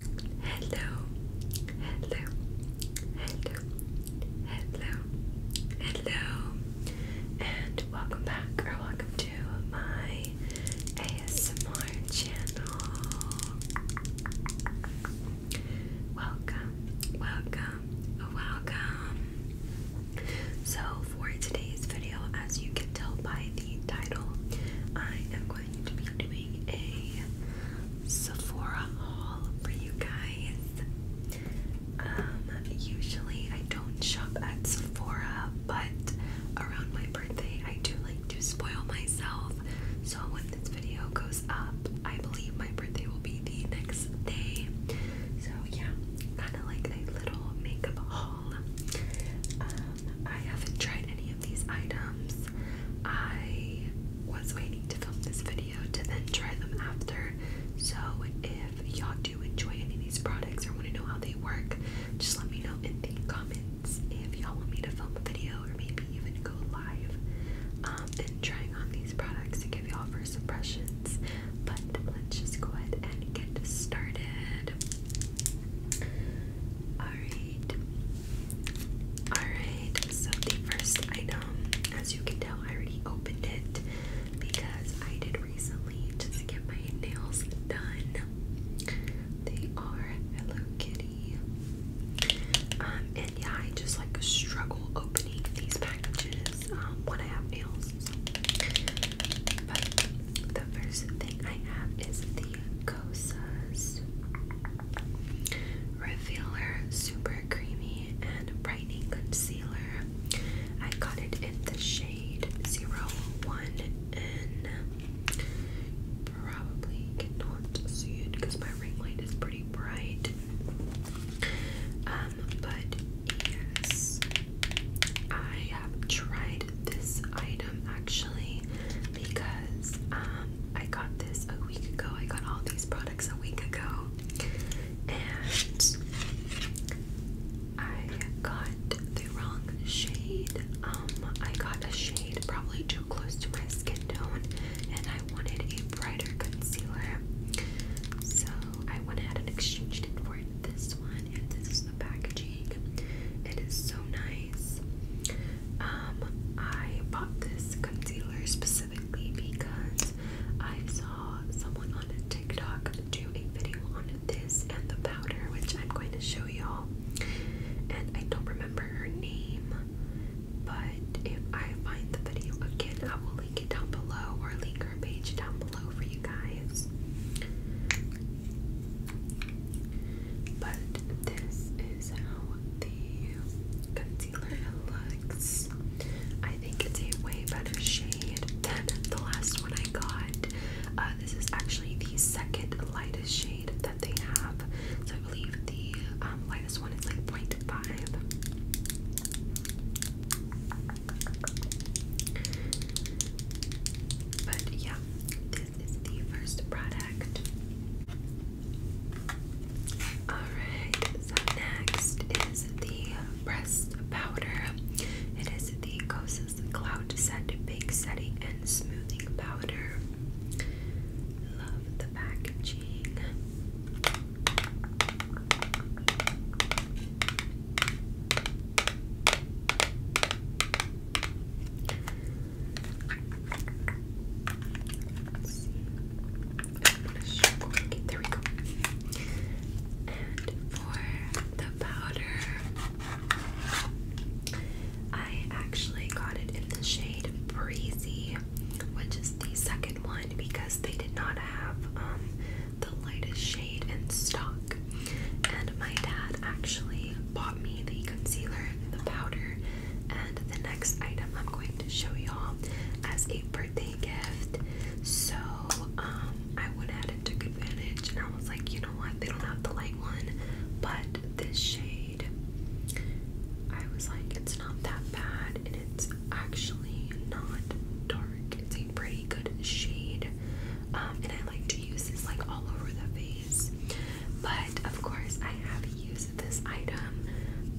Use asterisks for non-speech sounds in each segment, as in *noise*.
Hello, hello, hello, hello, hello, and welcome back or welcome to my ASMR channel. Welcome, welcome, welcome. So, for today's video, as you can tell by the title, I am going going to be doing a Sephora haul for you guys. Um, usually I don't shop at Sephora, but around my birthday I do like to spoil myself. So when this video goes up, I believe my birthday will be the next day. So yeah, kind of like a little makeup haul. Um, I haven't tried any of these items. I was waiting to film this video to then try them after. So if y'all do enjoy any of these products or want to know how they work, just let me know in the comments if y'all want me to film a video or maybe even go live um, and trying on these products to give y'all first impressions. But let's just go ahead and get started. Alright. Alright, so the first item, as you can tell, I already opened it because I did recently just get my nails done. They are Hello Kitty. Um, and yeah, I just like struggle opening these packages um, when I have nails. But the first thing I have is the Revealer Super Creamy and Brightening Concealer. I got it in the shade 01 and probably cannot see it because my ring light is pretty bright. Um, but yes, I have tried this item actually because um, I got this a week ago. I got all these products a week ago, and I got the wrong shade. Um, I got a shade probably too close to my skin tone, and I wanted a brighter concealer, so I went ahead and exchanged it for this one. And this is the packaging. It is so nice. Um, I bought this concealer specifically because I saw someone on TikTok do a video on this and the powder, which I'm going to show y'all. And I don't remember her name, but if I find the video again, I will link it down below or link her page down below for you guys. But this is how the concealer looks. I think it's a way better shade than the last one I got. Uh, this is actually the second lightest shade that they have. So I believe the um, lightest one is like 0.5. But yeah, is the first product. Alright, so next is the breast powder. It is the Kosas Cloud Set Big Setting and Smoothing Powder. Love the packaging. Okay, there we go. And for the powder, I actually got it in the shade Breezy, which is the second one because they did not have um, the lightest shade in stock. And my dad actually bought me the concealer, the powder, and the next item I'm going to show y'all as a birthday gift. So um, I went ahead and took advantage, and I was like, you know what? They don't have the light one, but this shade, I was like, it's not that bad, and it's actually not dark. It's a pretty good shade, um, and I like to use this like all over the face but of course, I have used this item.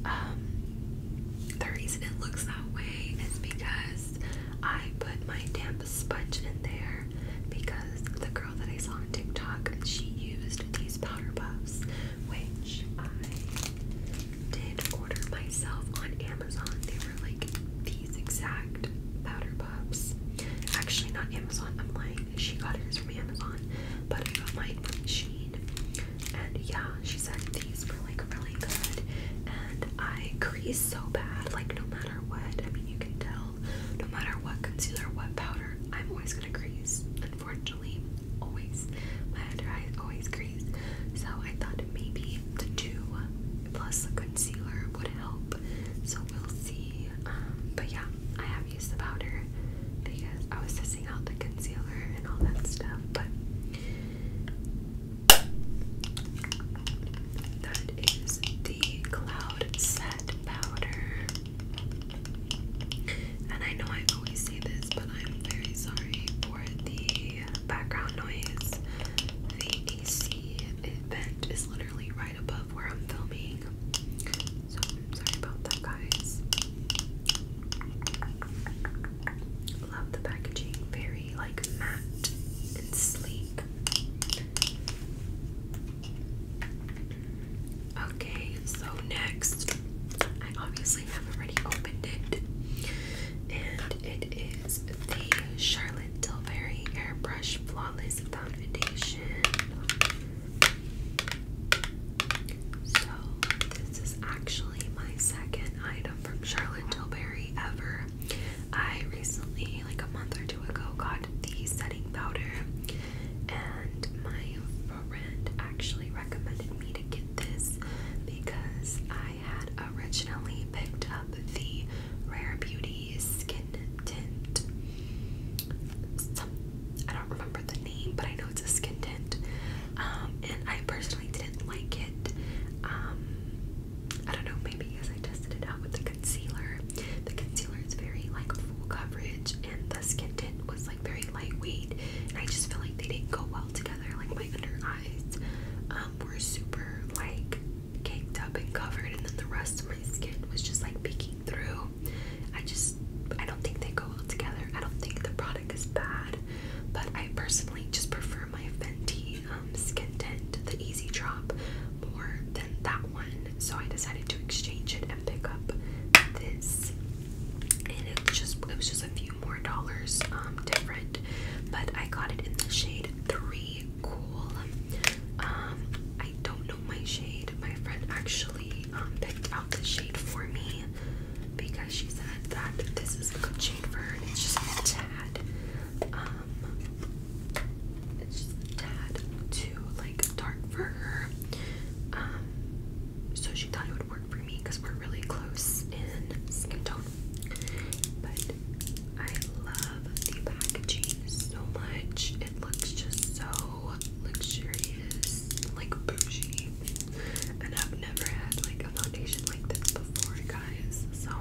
Um, the reason it looks that way is because I put my damp sponge in there because the girl that I saw on TikTok she used these powder pops, which I did order myself on Amazon. They were like these exact powder pops. Actually, not Amazon. I'm lying. She got hers from Amazon, but I got mine from Shein. And yeah, she said these were like really good. And I crease so bad, like no matter what. I mean, you can tell. No matter what concealer, what powder, I'm always gonna crease. Unfortunately, always. My under eyes always crease. So I thought maybe the two plus the concealer would help. So we'll see. Um, but yeah, I have used the powder because I was testing out the concealer and all that stuff, but that is the Cloud Set powder. And I know I always say this, but I'm very sorry for the background noise. The AC event is literally above where I'm filming. So sorry about that, guys. Love the packaging, very like matte and sleek. Okay, so next, I obviously have already opened it, and it is the Charlotte Tilbury Airbrush Fly Flawless Foundation. So, this is actually my second item from Charlotte Tilbury ever. I recently, like a month or two ago, got the setting powder, and my friend actually recommended me to get this because I had originally picked up the Rare Beauty Skin Tint. I don't remember the name, but I know it's a skin tint. Um, and I personally didn't like it. Um, I don't know, maybe because I tested it out with the concealer. The concealer is very like full coverage, and the skin tint was like very lightweight. I just feel like they didn't go well together. Like my under eyes um, were super like caked up and covered, and then the rest of my skin was just like peeking through. I just, I don't think they go well together. I don't think the product is bad, but I personally just prefer my Fenty um, Skin Tint, the Easy Drop, more than that one. So I decided to exchange it and pick up this, and it just, it was just a few more dollars um, different, but I got it in the shade Three Cool. Um, I don't know my shade. My friend actually um, picked out the shade for me because she said that this is a good shade for her. it's just a tad, um, it's just a tad too like dark for her. Um, so she thought it would work for me because we're really close in skin tone. But I love the packaging so much it looks just so luxurious, like bougie. And I've never had like a foundation like this before, guys. So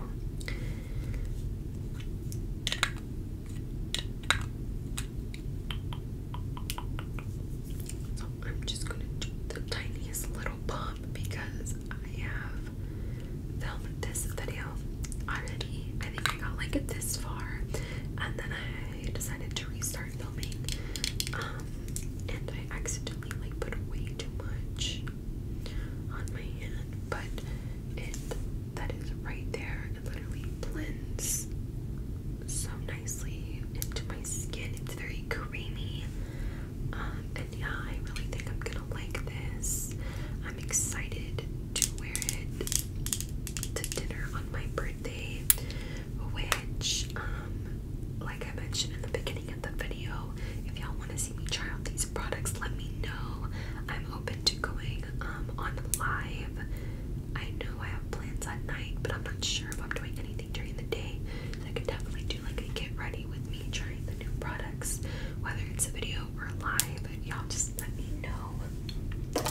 I'm just gonna do the tiniest little pump because I have film this video already. I think I got like this far, and then I decided to restart filming. Um, and I accidentally like put way too much on my hand, but it that is right there. It literally blends so nicely into my skin. It's very creamy. Um, and yeah, I really think I'm gonna like this. I'm excited to wear it to dinner on my birthday, which, um, like I mentioned in the beginning of the video, if y'all want to see me try out these products, let me know. I'm open to going um, on live. I know I have plans at night, but I'm not sure if I'm doing anything during the day. I could definitely do like a get ready with me trying the new products, whether it's a video video or live, y'all just let me know.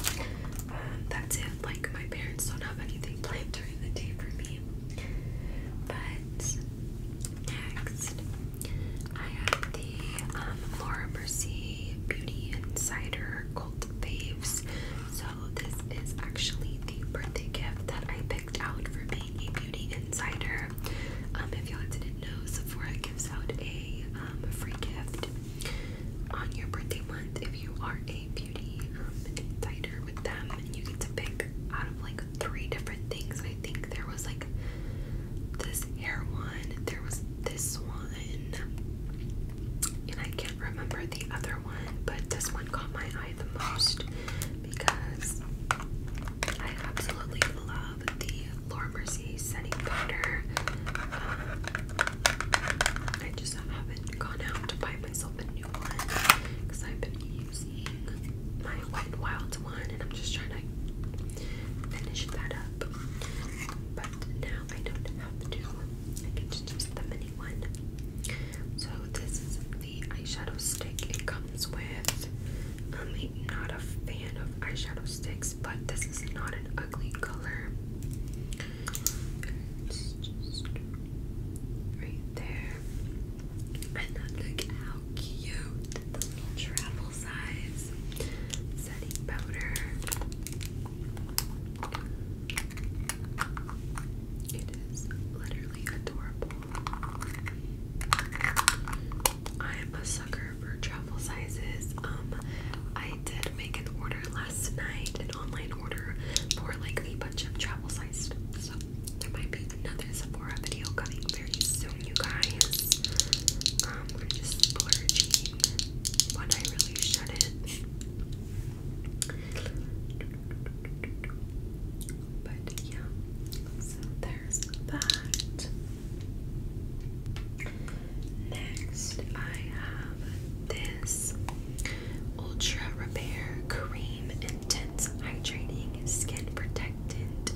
Um, that's it. Like, my parents don't have anything planned during the day for me. But next, I have the um, Laura Mercier Beauty Insider Cult Faves. So, this is actually the birthday gift that I picked out for being a beauty insider. Um, if y'all didn't know Sephora gives out um, a free gift on your birthday month if you are a beauty insider um, with them, and you get to pick out of like three different things. I think there was like this hair one, there was this one, and I can't remember the other one, but this one caught my eye the most because I absolutely love the Laura Mercy setting powder. Um, I just haven't gone out to buy myself a new one because I've been using my Wet Wild one and I'm just trying to finish that up. But now I don't have to. I can just use the mini one. So this is the eyeshadow stick it comes with. I'm not a fan of eyeshadow sticks but this is not an ugly color. right there. And look how cute the little travel size setting powder. It is literally adorable. I'm a sucker for travel sizes. Um, I did make an order last night, an online order for like a bunch of travel sized. So there might be another Sephora video coming very soon, you guys. Um, we're just splurging I really shouldn't. But yeah, so there's that. Next, I have this Ultra Repair Cream Intense Hydrating Skin Protectant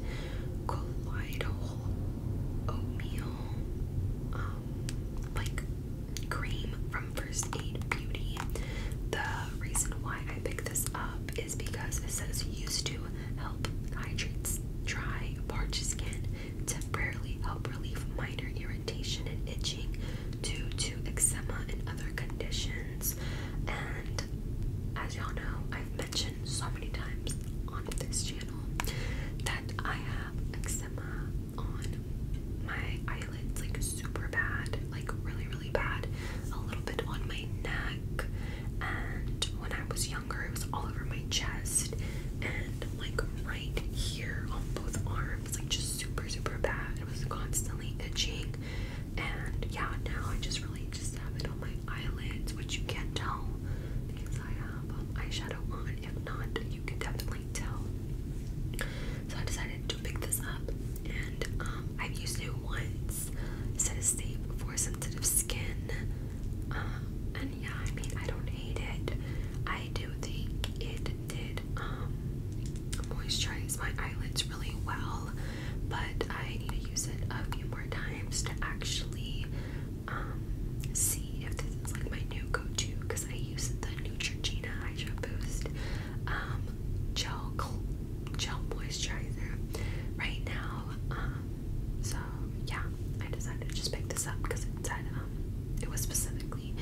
Colloidal Oatmeal um, like cream from First Aid Beauty. The reason why I picked this up is because it says used to help hydrates dry, parched skin, temporarily help relieve minor irritation and itching due to eczema and other conditions. And as y'all know, I've mentioned so many times on this channel that I have eczema on my eyelids, like super bad, like really, really bad. A little bit on my neck and when I was younger, it was all over my chest and like right here on both arms, like just super, super bad. It was constantly itching, and yeah, now I just really just have it on my eyelids, which you can't tell because I have um, eyeshadow on. If not, you could definitely tell. So I decided to pick this up, and um, I've used it once. It says it's safe for sensitive skin. Uh, and yeah, I mean, I don't hate it. I do think it did um, moisturize my eyelids really well, but I need to use it a few more times to actually um, see if this is like my new go-to because I use the Neutrogena Hydro Boost um, gel gel moisturizer right now. Um, so yeah, I decided to just pick this up because it said um, it was specifically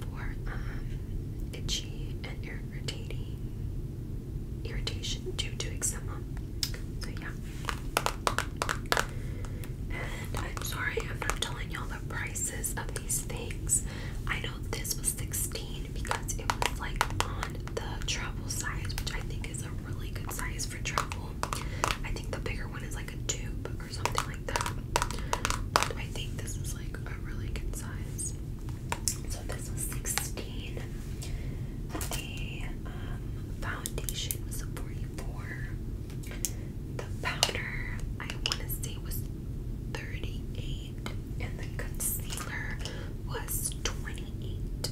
for um, itchy and irritating irritation due to eczema. So yeah. And I'm sorry I'm not telling y'all the prices of these things. I know this was 16 because it was like on the travel size, which I think is a really good size for travel. I think the bigger one is like a tube or something like that. I think this is like a really good size. So this was 16. The um, foundation was 44. The powder I want to say was 38 and the concealer was 28.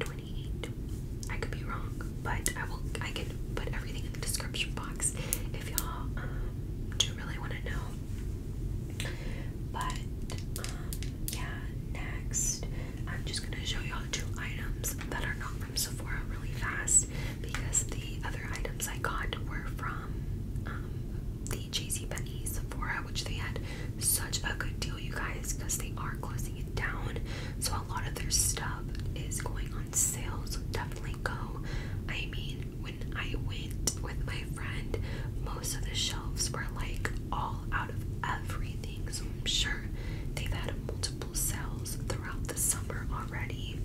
28 I could be wrong, but I will. I can put everything in the description box if y'all uh, do really want to know. But um, yeah, next I'm just gonna show y'all two items that are not from Sephora really fast because the other items I got were from um, the JCPenney Sephora, which they had such a good deal, you guys, because they are closing it down. So a lot of their stuff is going on sale. So definitely go. I mean, when I went with my friend, most of the shelves were like all out of everything. So I'm sure they've had multiple sales throughout the summer already.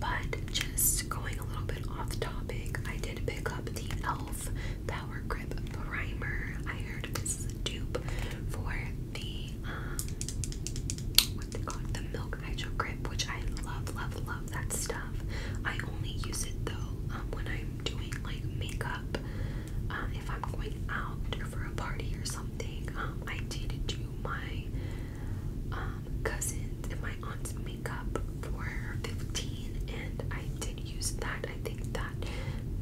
But just going a little bit off topic, I did pick up the e.l.f. The Sour Primer. I heard this dupe for the, um, what's it The Milk Hydro Grip, which I love, love, love that stuff. I only use it, though, um, when I'm doing, like, makeup. Uh, if I'm going out for a party or something, um, I did do my, um, cousin's and my aunt's makeup for 15, and I did use that. I think that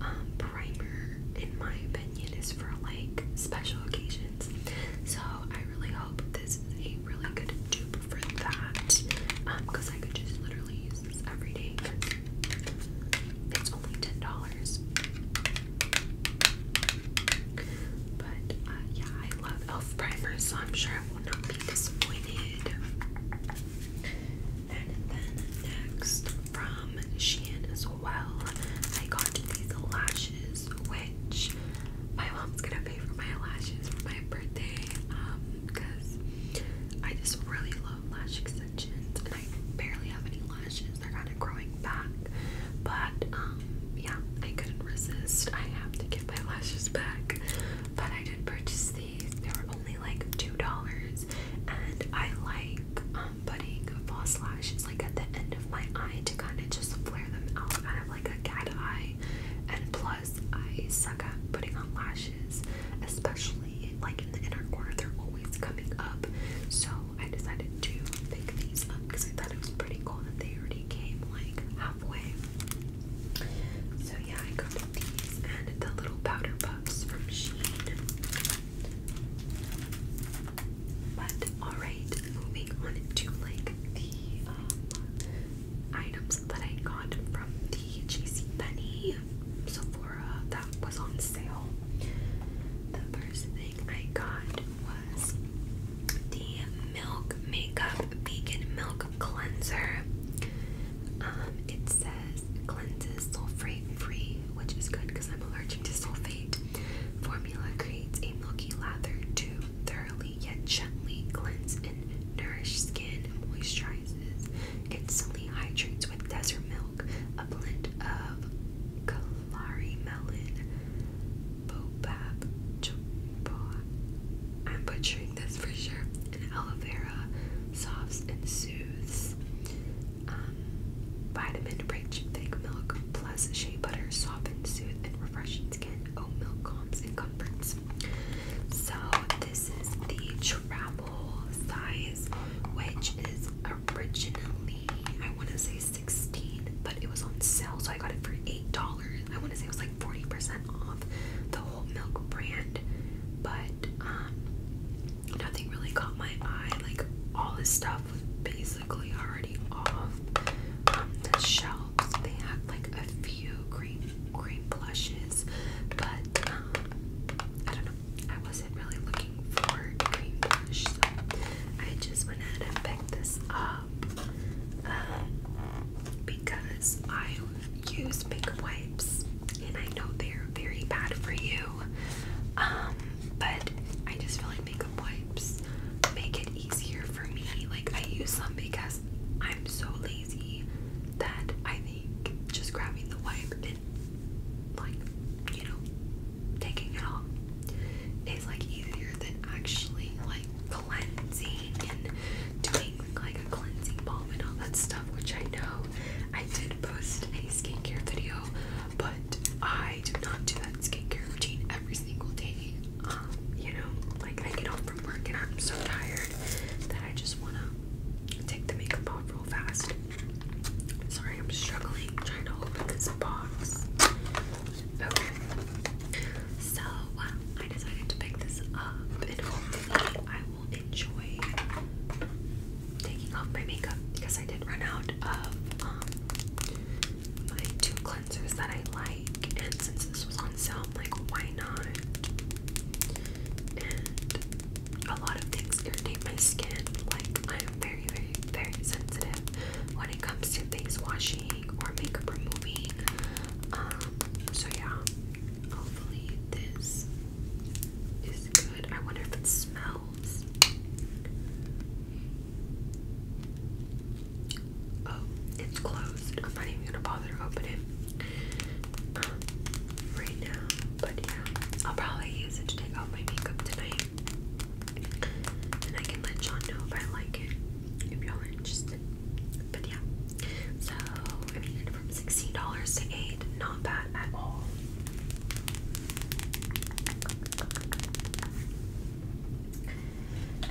um, primer, in my opinion, is for like special occasions. So I really hope this is a really good dupe for that because um, I could just literally use this every day. It's only ten dollars. But uh, yeah, I love Elf primers, so I'm sure I will not be disappointed. And then next from Shein as well, I got these lashes, which my mom's gonna pay for my lashes for my birthday, um, because I just really love lash extensions and I barely have any lashes, they're kind of growing back. But um yeah, I couldn't resist. I have to get my *laughs* lashes back. But I did purchase the they were only like $2. And I like um, putting false lashes like at the end of my eye to kind of just flare them out. I have like a cat eye. And plus, I suck at putting on lashes, especially like in the inner corner. They're always coming up. So I decided to pick these up because I thought it was pretty cool that they already came like halfway. So yeah, I got these and the little powder puffs from Shein. But alright, moving on to like the um, items that I got from the JC JCPenney Sephora that was on sale. The first thing I got was the Milk Makeup Vegan Milk Cleanser. Um, it says cleanses sulfate free, which is good because I'm allergic to sulfate. Formula creates a milky lather to thoroughly yet gently cleanse and nourish skin, moisturizes. Instantly hydrates with desert milk, a blend of Kalari melon, Bobab, Choboa. I'm drink for sure. And aloe vera softs and soothes. Um, vitamin rich fig milk plus shea butter softens, soothes, and refreshes skin. Oat milk calms and comforts. So this is the travel size, which is originally I want to say 16, but it was on sale, so I got it for eight dollars. I want to say it was like 40% off the whole milk brand, but um, nothing really caught my eye. Like all this stuff was basically already off um, the shelves. They had like a few cream cream blushes, but um, I don't know. I wasn't really looking for cream I just went ahead and picked this up because I use big wipes, and I know they're very bad for you. Um, but I just feel like makeup wipes make it easier for me. Like I use them because I'm so lazy that I think just grabbing the wipe and like you know taking it off is like easier than actually like cleansing and doing like a cleansing balm and all that stuff, which I know I did post a skincare video, but I do not do that skincare routine every single day. Um, you know, like I get home from work and I'm so tired that I just wanna take the makeup off real fast. Sorry, I'm struggling trying to open this box. Okay. So, I decided to pick this up will enjoy taking off my makeup because I did run out of um, my two cleansers that I like, and since this was on sale, I'm like, why not? a lot of things irritate my skin. Like I am very, very, very sensitive when it comes to face washing or makeup removing. Um, so yeah, Hopefully this is good. I wonder if it smells. Oh, it's closed. I'm not even gonna bother to open it um, right now. But yeah, I'll probably use it to take off my makeup tonight. And I can let John know if I like it. If y'all are interested. But yeah, so I made from $16 to 8 Not bad at all.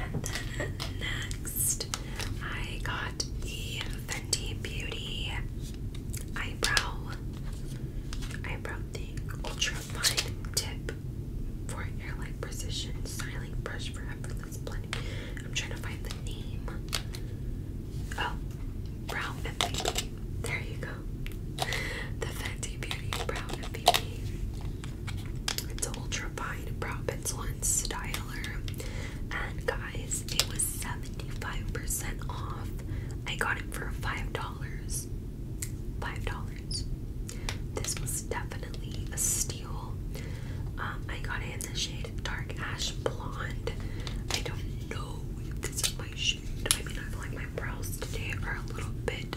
And then next, I got the Fenty Beauty eyebrow eyebrow thing, ultra fine tip for hairline precision styling brush for effortless I'm trying to find the name. Oh, Brow MVP. There you go. The Fenty Beauty Brow MVP. It's an ultra fine brow one styler. And guys, it was 75% off. I got it for $5. $5. This was definitely a steal um, I got it in the shade Dark Ash Blonde. I don't know if this is my shade. I mean, I feel like my brows today are a little bit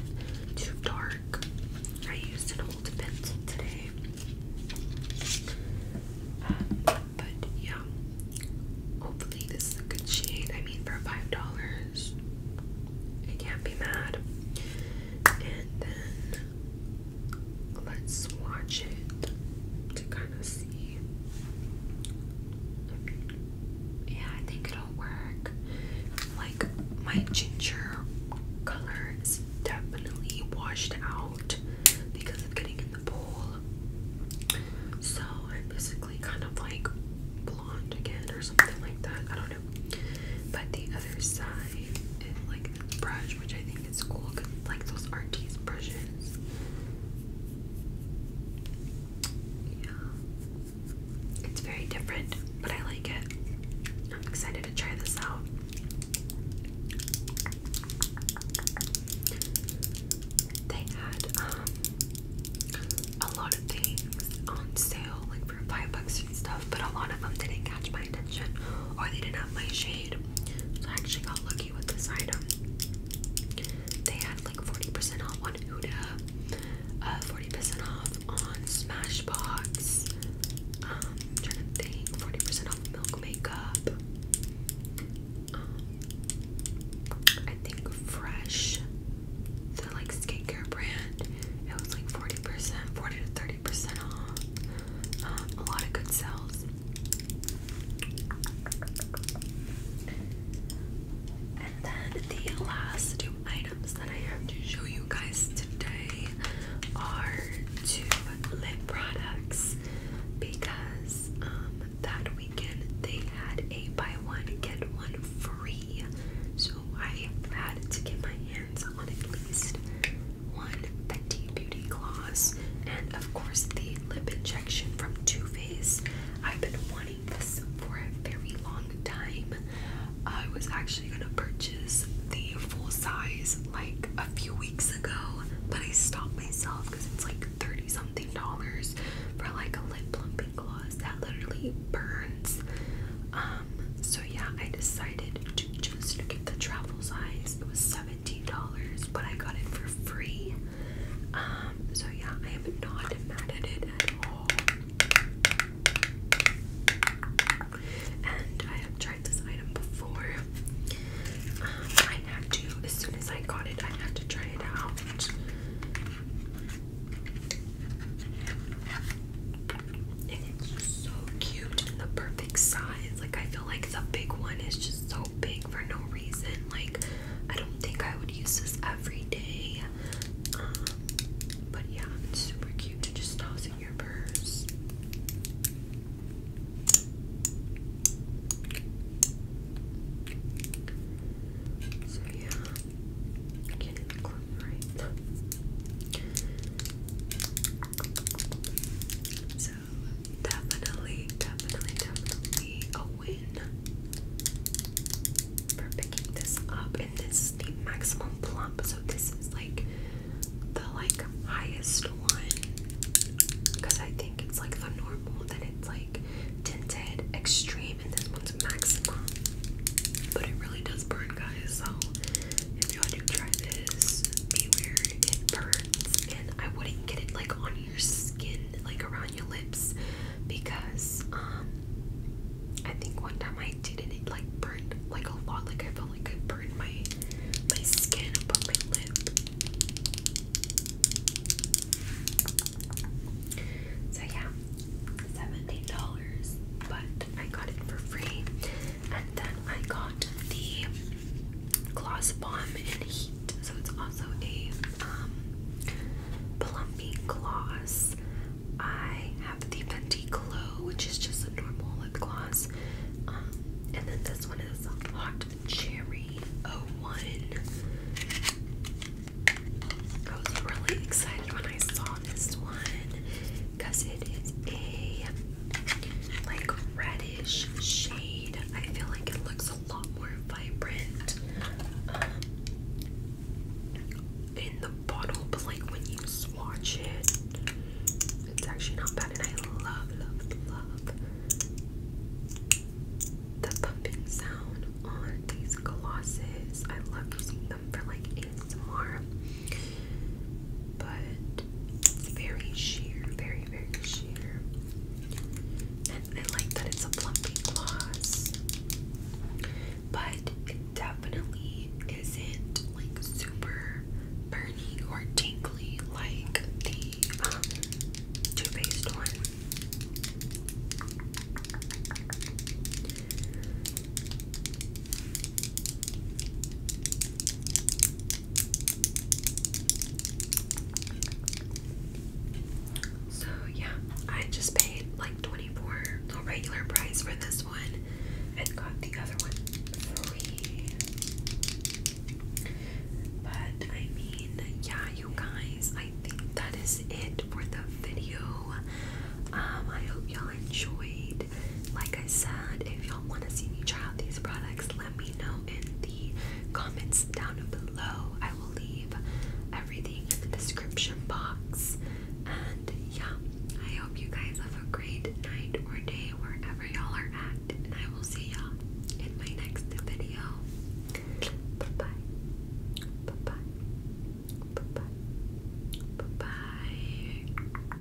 too dark. I used an old pencil today. Um, but yeah, hopefully, this is a good shade. I mean, for $5, I can't be mad. And then let's swatch it to kind of see. Yeah, I think it'll work. Like, my ginger color is definitely washed out because of getting in the pool. So, I'm basically kind of like blonde again or something like that. I don't know. But the other side did like brush, which I think is cool because like those Artiste brushes. Yeah. It's very different, but I like it. I'm excited to try this out. They had um a lot of things on sale, like for five bucks and stuff, but a lot of them didn't catch my attention or they didn't have my shape. So I actually got lucky with this item. They had like 40% off on Huda, 40% uh, off on Smashbox. Um, trying to think, 40% off Milk Makeup. Um, I think Fresh, the like skincare brand, it was like 40%, 40 to 30 percent off. Um, a lot of good sales. And then the last two items that I have to show you guys today are two lip products because um, that weekend they had a buy one get one free. So I had to get my hands on at least one T Beauty Gloss, and of course the lip injection from Too Faced. I've been wanting this for a very long time. I was actually gonna purchase the full size like a few weeks ago, but I stopped myself because it's like 30 something dollars for like a lip plumping gloss that literally burns. Um, so yeah, I decided to just get the travel size. It was seven $17, but I got it for free. Um, so yeah, I am not mad at it at all. And I have tried this item before. Um, I had to, as soon as I got it, I had to try it out so cute and the perfect size. Like, I feel like the big one is just so big for no reason. Like, I don't think I would use this every day. Um, but yeah, it's super cute to just toss in your purse. So yeah, I can't right. So definitely, definitely, definitely a win for picking this up. And this is the maximum plump, so this is like the like highest one because I think it's like the normal, then it's like tinted extreme, and this one's maximum. But it really does burn, guys. So if y'all God, this? Beware, it burns. And I wouldn't get it like on your skin, like around your lips, because um, I think one time I did it, it like burned like a lot. Like I felt like I burned my my skin above my lip. So yeah, $17, but I got it for free. And then I got the Gloss Bomb and Heat. So it's also a um, gloss. I have the Fenty Glow, which is just a normal lip gloss. Um, and then this one is Hot Cherry O oh One. I was really excited when I saw this one because it is a like reddish shade. I feel like it looks a lot more vibrant um, in the bottle, but like when you swatch it, it's actually not bad. And I love, love, love the pumping sound on these glosses. I love using them for like ASMR. But it's Very sheer, very, very sheer. And I like that it's a plumpy gloss. But it definitely isn't like super burning or tingly like the um, Too Faced one. So yeah, I just paid like 24 the regular price for this one and got the other one free. But I mean, yeah, you guys, I think that is it for the video. Um, I hope y'all enjoyed. And like I said, if y'all want to see me try out these products, let me know in the comments down below. I will leave everything in the description box. And yeah, I hope you guys have a great night or day wherever y'all are at. And I will see y'all in my next video. Bye bye. Bye bye. Bye bye. Bye bye.